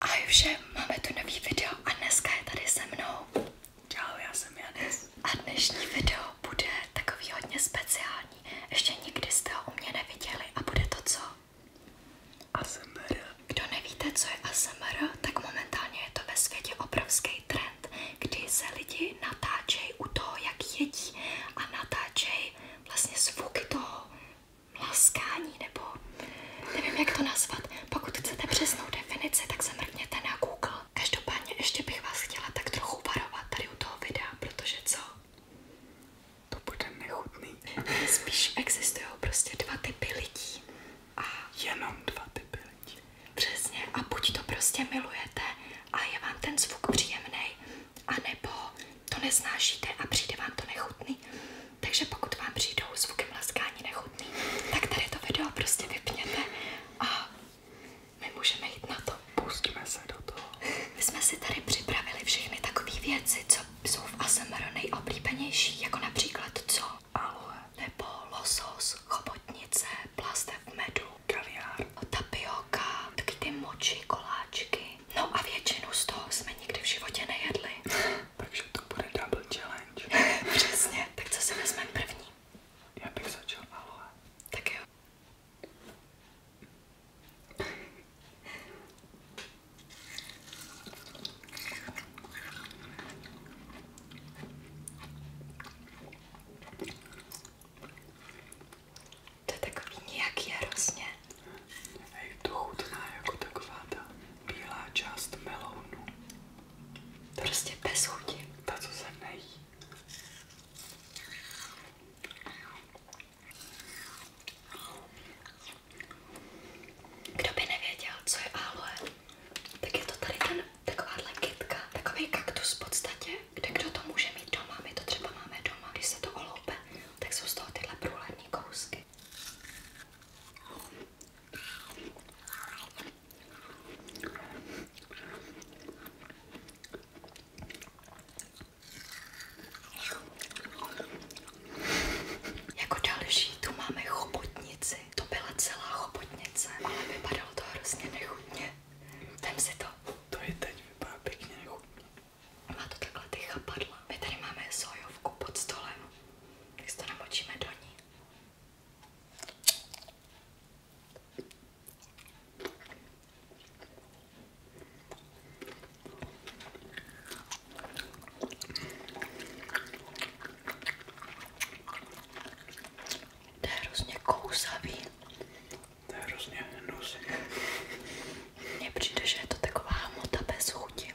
Ahoj všem, máme tu nový video a dneska je tady se mnou. Čau, já jsem Janis. A dnešní video bude takový hodně speciální. Ještě nikdy jste ho u mě neviděli a bude to co? ASMR. Kdo nevíte, co je ASMR, tak momentálně je to ve světě obrovský trend, kdy se lidi natáčejí u toho, jak jedí a natáčejí vlastně zvuky toho laskání, nebo nevím, jak to nazvat. Pokud chcete přesnou definici, tak se mrkněte na Google. Každopádně ještě bych vás chtěla tak trochu varovat tady u toho videa, protože co? To bude nechutný. Spíš existují prostě dva typy lidí. A jenom dva typy lidí. Přesně. A buď to prostě milujete a je vám ten zvuk příjemný, anebo to neznášíte a přijde vám to nechutný. Takže pokud vám přijdou zvuky mlaskání nechutný, tak tady to video prostě vypněte a my můžeme jít na to. Pustíme se do toho. My jsme si tady připravili všechny takové věci, co jsou v ASMR nejoblíbenější, jako například co? Aloe. Nebo losos, chobotnice, plastev medu, kaviár, tapioka, taky ty moči, koláčky. No a většinu z toho jsme nikdy v životě nejedli. Takže to bude double challenge. Přesně, tak co si vezmeme první? Já bych začal aloe. Tak jo. To je takový nějaký jarosně a je to chutná jako taková ta bílá část melounu. Prostě bez chuti. Ta, co se nejí. Kdo by nevěděl, co je aloe, tak je to tady ten, takováhle kytka, takový kaktus v podstatě, kde kdo to může mít doma, my to třeba máme doma, když se to oloupe, tak jsou z toho tyhle průhlední kousky. Jako další tu máme chobotnici. To byla celá chobotnice, ale vypadalo to hrozně nechutně. Vem si to. To je teď, vypadá pěkně nechutně. Má to takhle ty chapadla. My tady máme sojovku pod stolem tak si to do ní. To je hrozně kousavý. To je hrozně přijde, že je to taková hmota bez chuti.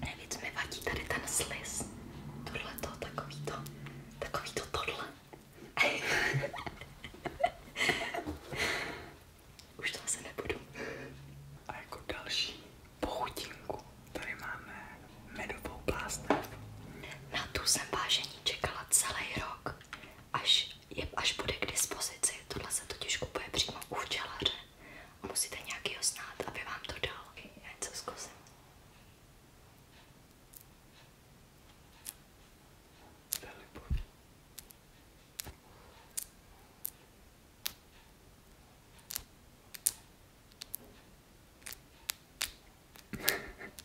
Nejvíc mi vadí tady ten sliz. Tohle to, takový to, takový to tohle. Už to asi nebudu. A jako další pochutinku tady máme medovou plástev. Na tu jsem vážení čekala celý rok, až je až bude k dispozici. Tohle se totiž kupuje přímo u včelaře a musíte nějaký znát, aby vám to dal. Já něco zkusím.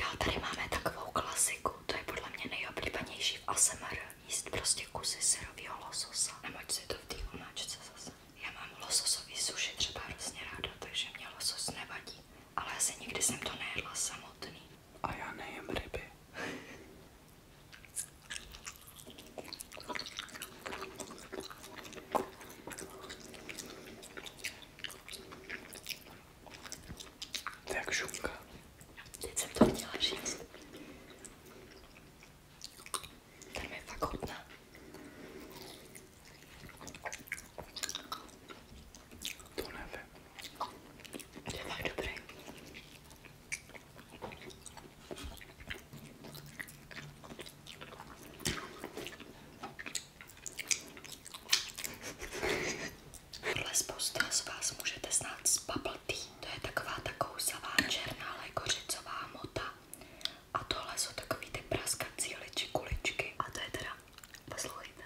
Dál tady máme takovou klasiku, to je podle mě nejoblíbenější v ASMR. Jíst prostě kusy syrového lososa. Nemoď si to v té omáčce zase. Já mám lososový suši třeba hrozně ráda, takže mě losos nevadí. Ale asi nikdy jsem to nejedla samotný. A já nejem ryby. To je jak šunka. Teď jsem to chtěla říct. Tady je fakt hodná. To nevím. To je fakt dobrý. Podle spousta z vás můžete znát z bubble tea. To je taková taková černá lékořicová mota. A tohle jsou takový ty praskací liči kuličky. A to je teda, poslouchejte.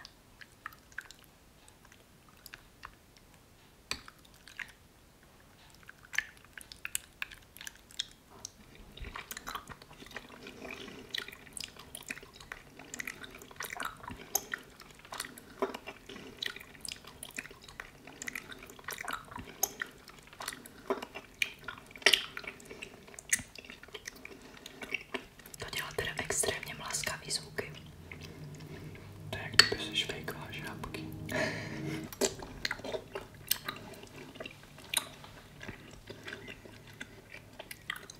To dělá teda extrémně mlaskavý zvuky. To je jak kdyby si švejkala žábky.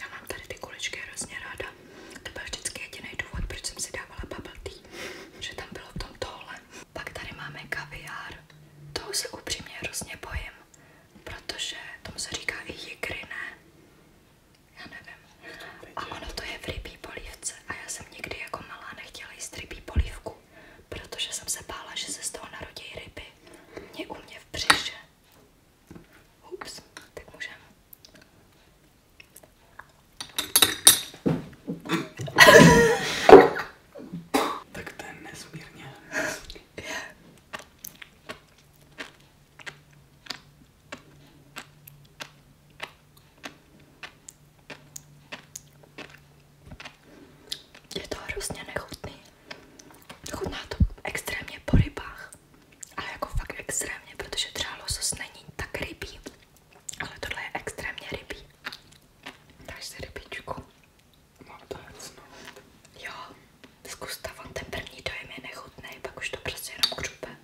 Já mám tady ty kuličky hrozně ráda. To byl vždycky jediný důvod, proč jsem si dávala bubble tea, že tam bylo v tom tohle. Pak tady máme kaviár. Toho se upřímně hrozně bojím, protože tomu se říká i jikry, ne? Já nevím. A ono to je v rybí polívce a já jsem nikdy jako malá nechtěla jíst rybí polívku, protože jsem se bála, že se z toho narodí ryby. Mě u mě v břiše. Ups, tak můžeme. tak to je nesmírně. Je to hrozně nechutný. Chutná to extrémně po rybách ale jako fakt extrémně, protože třeba losos není tak rybí, ale tohle je extrémně rybí. Dáš si rybičku. Mám no. Jo, zkuste, on ten první dojem je nechutný, pak už to prostě jenom křupe.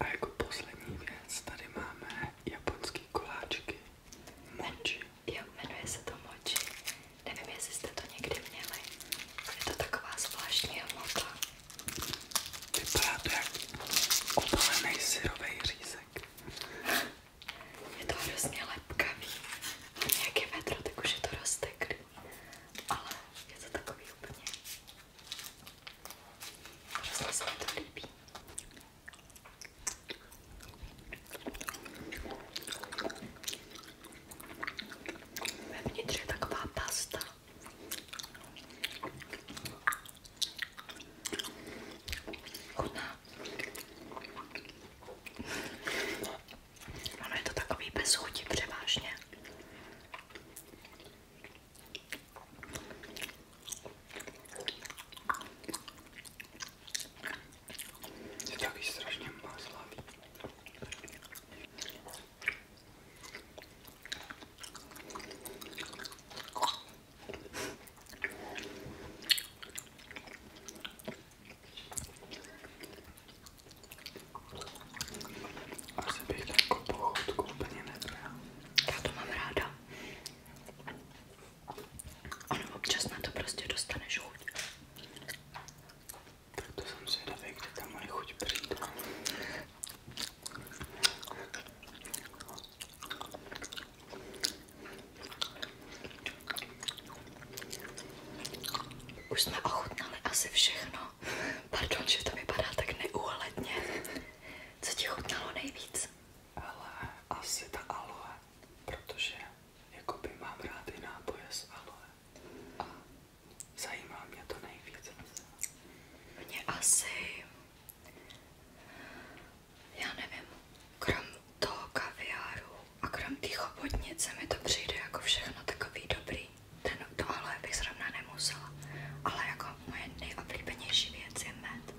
A jako poslední věc tady máme japonský koláčky. Moči. Jo, jmenuje se to moči. Nevím, jestli jste to někdy měli. Je to taková zvláštní hmota. Vypadá to jak opalený syrový řízek. Je to hrozně lepkavý. A nějaké vedro, tak už je to rozteklý. Ale je to takový úplně Prostě se mi to líbí. Vevnitř je taková pasta. Chutná. Ono je to takový bez chuti převážně. Je taky strašně maslavý. Asi bych jako pochodku úplně nebral. Já to mám ráda. Ono občas to prostě dostaneš chuť. to jsem zvědavý, kde ta chuť přijde. Už jsme ochutnali asi všechno. Pardon, že to vypadá tak neúhledně. Co ti chutnalo nejvíc? Ale asi ta aloe, protože jakoby mám rád i nápoje z aloe. A zajímá mě to nejvíc. Mně asi... Já nevím, krom toho kaviáru a krom té chobotnice mi to přijde jako všechno takový dobrý. Ten No tohle bych zrovna nemusela, ale jako moje nejoblíbenější věc je med.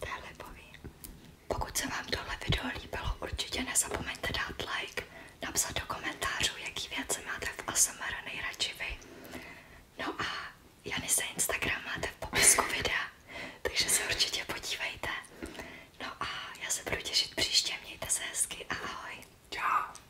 To je lipový. Pokud se vám tohle video líbilo, určitě nezapomeňte dát like, napsat do komentářů, jaký věci máte v ASMR nejradši vy. No a Jany se Instagram máte v popisku videa, takže se určitě podívejte. No a já se budu těšit příště, mějte se hezky a ahoj. Čau.